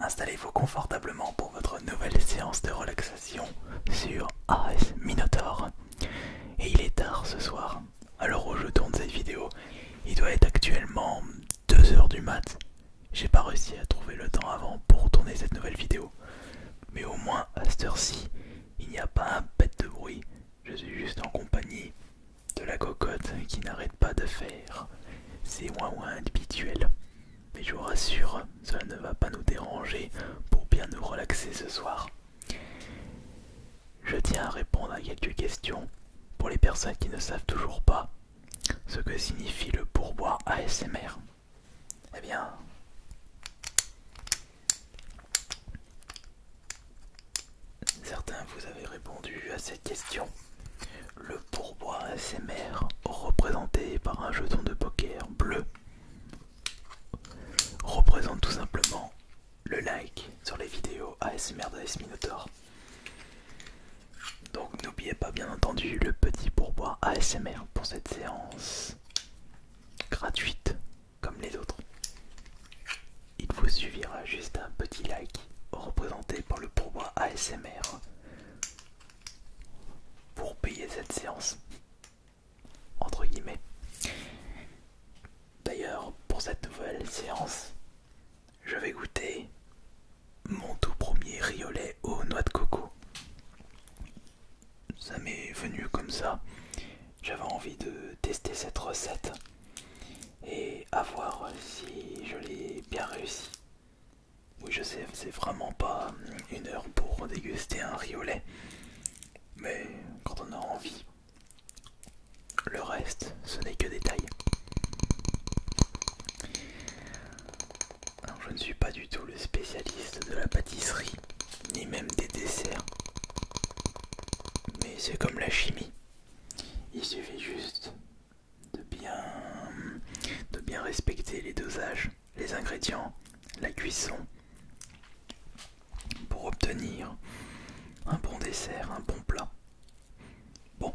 Installez-vous confortablement pour votre nouvelle séance de relaxation sur AS Minotaur. Et il est tard ce soir, alors où je tourne cette vidéo, il doit être actuellement 2h du mat. J'ai pas réussi à trouver le temps avant pour tourner cette nouvelle vidéo. Mais au moins à cette heure-ci, il n'y a pas un bête de bruit. Je suis juste en compagnie de la cocotte qui n'arrête pas de faire ses ouin-ouin habituels. Mais je vous rassure, cela ne va pas nous déranger pour bien nous relaxer ce soir. Je tiens à répondre à quelques questions pour les personnes qui ne savent toujours pas ce que signifie le pourboire ASMR. Eh bien... Certains vous avez répondu à cette question. Le pourboire ASMR représenté par un jeton de poker bleu représente tout simplement le like sur les vidéos ASMR de Minotaur. Donc n'oubliez pas bien entendu le petit pourboire ASMR pour cette séance gratuite comme les autres. Il vous suffira juste un petit like représenté par le pourboire ASMR pour payer cette séance entre guillemets d'ailleurs pour cette nouvelle séance je vais goûter mon tout premier riolet aux noix de coco ça m'est venu comme ça j'avais envie de tester cette recette et à voir si je l'ai bien réussi oui, je sais, c'est vraiment pas une heure pour déguster un riolet. Mais quand on a envie, le reste, ce n'est que détail. je ne suis pas du tout le spécialiste de la pâtisserie, ni même des desserts. Mais c'est comme la chimie. Il suffit juste de bien, respecter les dosages, les ingrédients, la cuisson pour obtenir un bon dessert, un bon plat. Bon,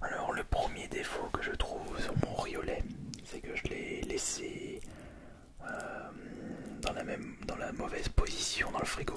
alors le premier défaut que je trouve sur mon riolet, c'est que je l'ai laissé euh, dans, la même, dans la mauvaise position dans le frigo.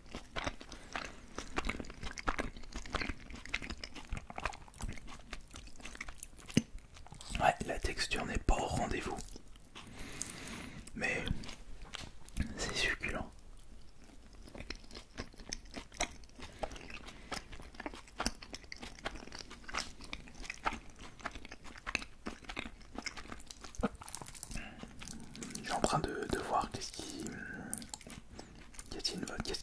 Ouais, la texture n'est pas au rendez-vous. Mais c'est succulent je suis en train de, voir qu'est-ce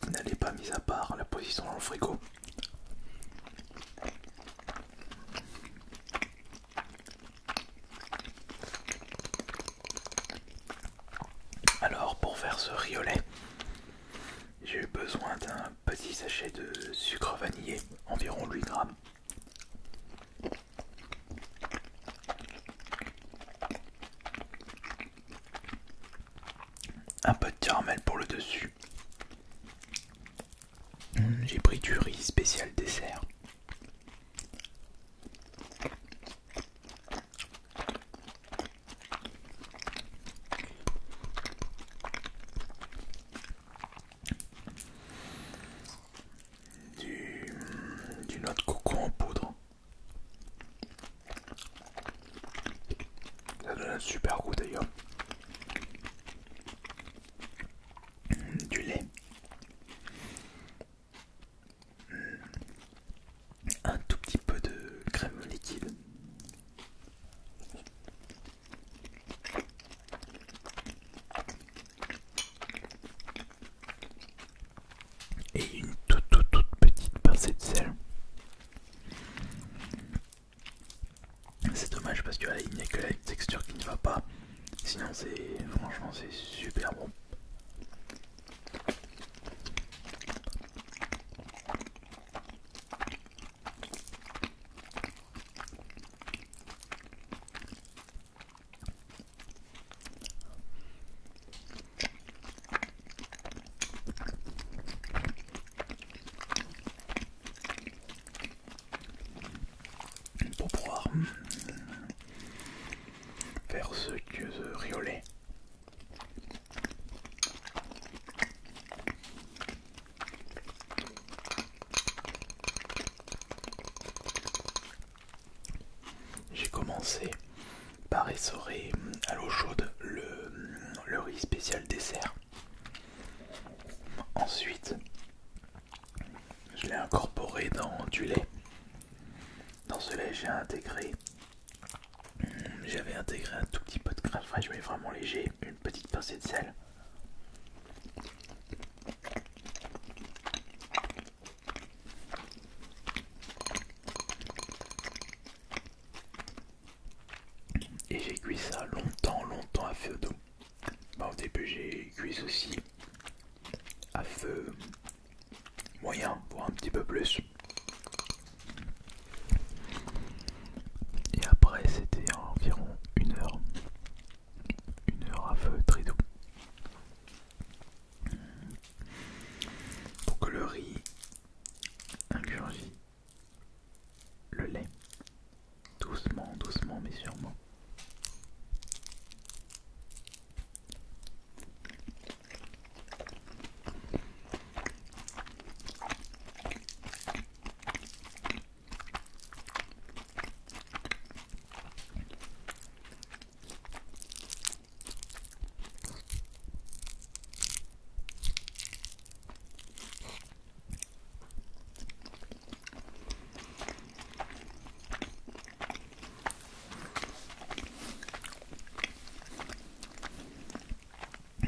qui n'allait pas mis à part la position dans le frigo alors pour faire ce riolet j'ai eu besoin d'un petit sachet de sucre vanillé environ 8 grammes un peu de caramel pour le dessus. Hmm, j'ai pris du riz spécial dessert du, noix de coco en poudre. Ça donne un super goût d'ailleurs. Du lait. Un tout petit peu de crème liquide et une toute toute toute petite pincée de sel. C'est dommage parce que là il n'y a que la texture qui ne va pas. Sinon c'est franchement c'est super bon pour pouvoir faire ce que je riaulais. J'ai commencé par essorer à l'eau chaude le, riz spécial dessert. Ensuite, je l'ai incorporé dans du lait. Dans ce lait, j'ai intégré. J'avais intégré un tout petit peu de crème fraîche, mais vraiment léger, une petite pincée de sel. Et j'ai cuit ça longtemps, longtemps à feu d'eau. Bah, au début, j'ai cuit aussi à feu moyen, voire un petit peu plus. Et après, c'était environ une heure, une heure à feu très doux pour que le riz ingurgie le lait doucement, doucement mais sûrement.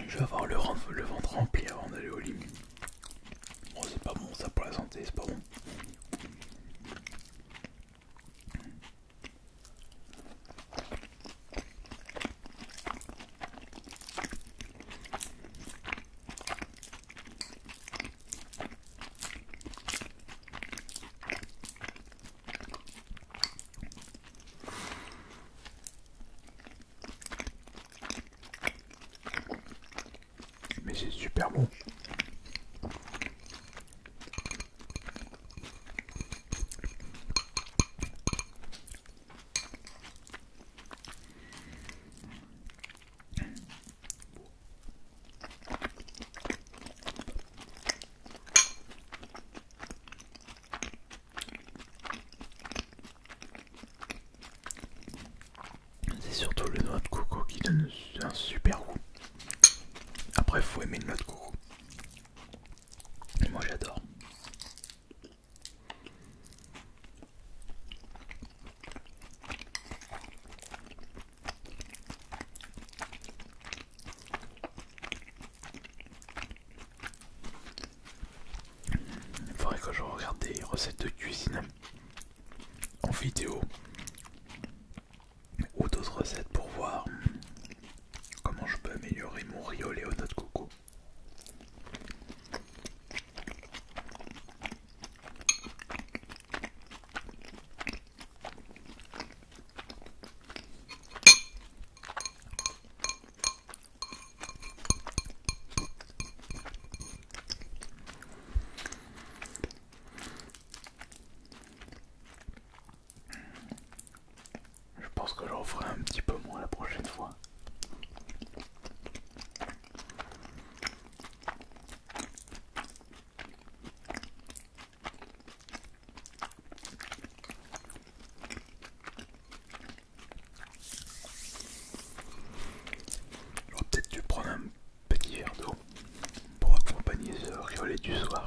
Je vais avoir le, ventre rempli avant d'aller au lit. Oh, c'est pas bon ça pour la santé, c'est pas bon. Mais c'est super bon. C'est surtout le noix de coco qui donne un super goût. Après, il faut aimer le noix de coco. moi, j'adore. Il faudrait que je regarde des recettes de cuisine en vidéo ou d'autres recettes pour voir comment je peux améliorer mon riolet au de coco. Je pense que j'en ferai un petit peu moins la prochaine fois. peut-être un petit verre d'eau pour accompagner ce riolet du soir.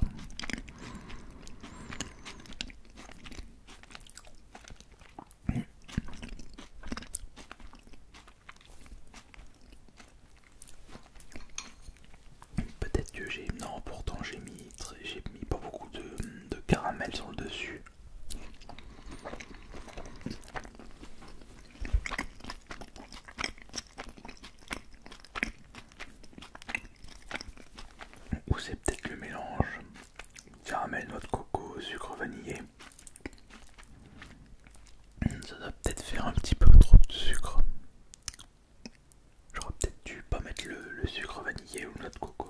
Peut-être que j'ai... Non, pourtant j'ai mis, j'ai mis pas beaucoup de caramel sur le dessus. Ou c'est peut-être le mélange caramel, noix de coco, sucre vanillé. Ça doit peut-être faire un petit peu trop de sucre. J'aurais peut-être dû pas mettre le, sucre vanillé ou noix de coco.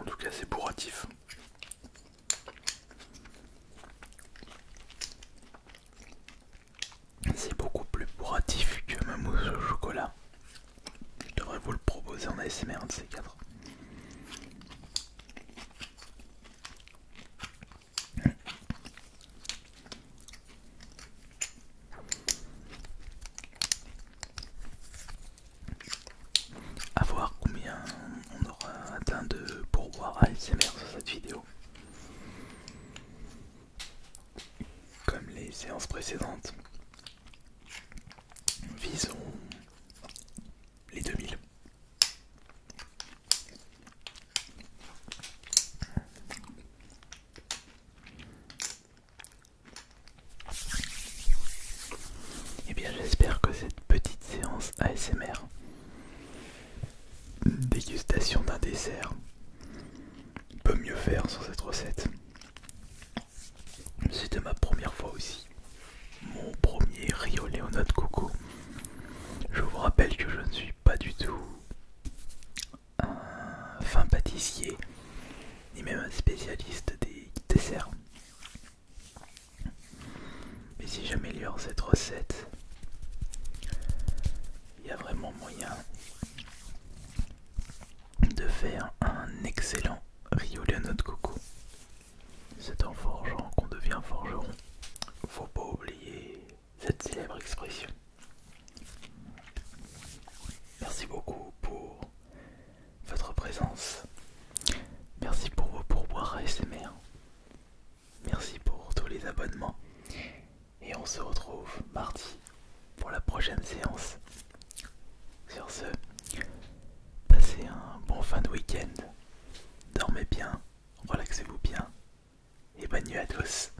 En tout cas, c'est bourratif. C'est beaucoup plus bourratif que ma mousse au chocolat. Je devrais vous le proposer en ASMR un de ces quatre à voir combien on aura atteint de à ASMR sur cette vidéo. Comme les séances précédentes, visons les 2000. Et eh bien j'espère que cette petite séance ASMR dégustation d'un dessert peut mieux faire sur cette recette. C'était ma première fois aussi. Mon premier Rio Léonard de coco. Je vous rappelle que je ne suis pas du tout un fin pâtissier, ni même un spécialiste des desserts. Mais si j'améliore cette recette, il y a vraiment moyen de faire un excellent riolano de coco. C'est en forgeant qu'on devient forgeron. Faut pas oublier cette célèbre expression. Merci beaucoup pour votre présence. Merci pour vos pourboires ASMR. Merci pour tous les abonnements. Et on se retrouve mardi pour la prochaine séance. Sur ce, passez un bon fin de week-end. Dormez bien, relaxez-vous bien. Et bonne nuit à tous.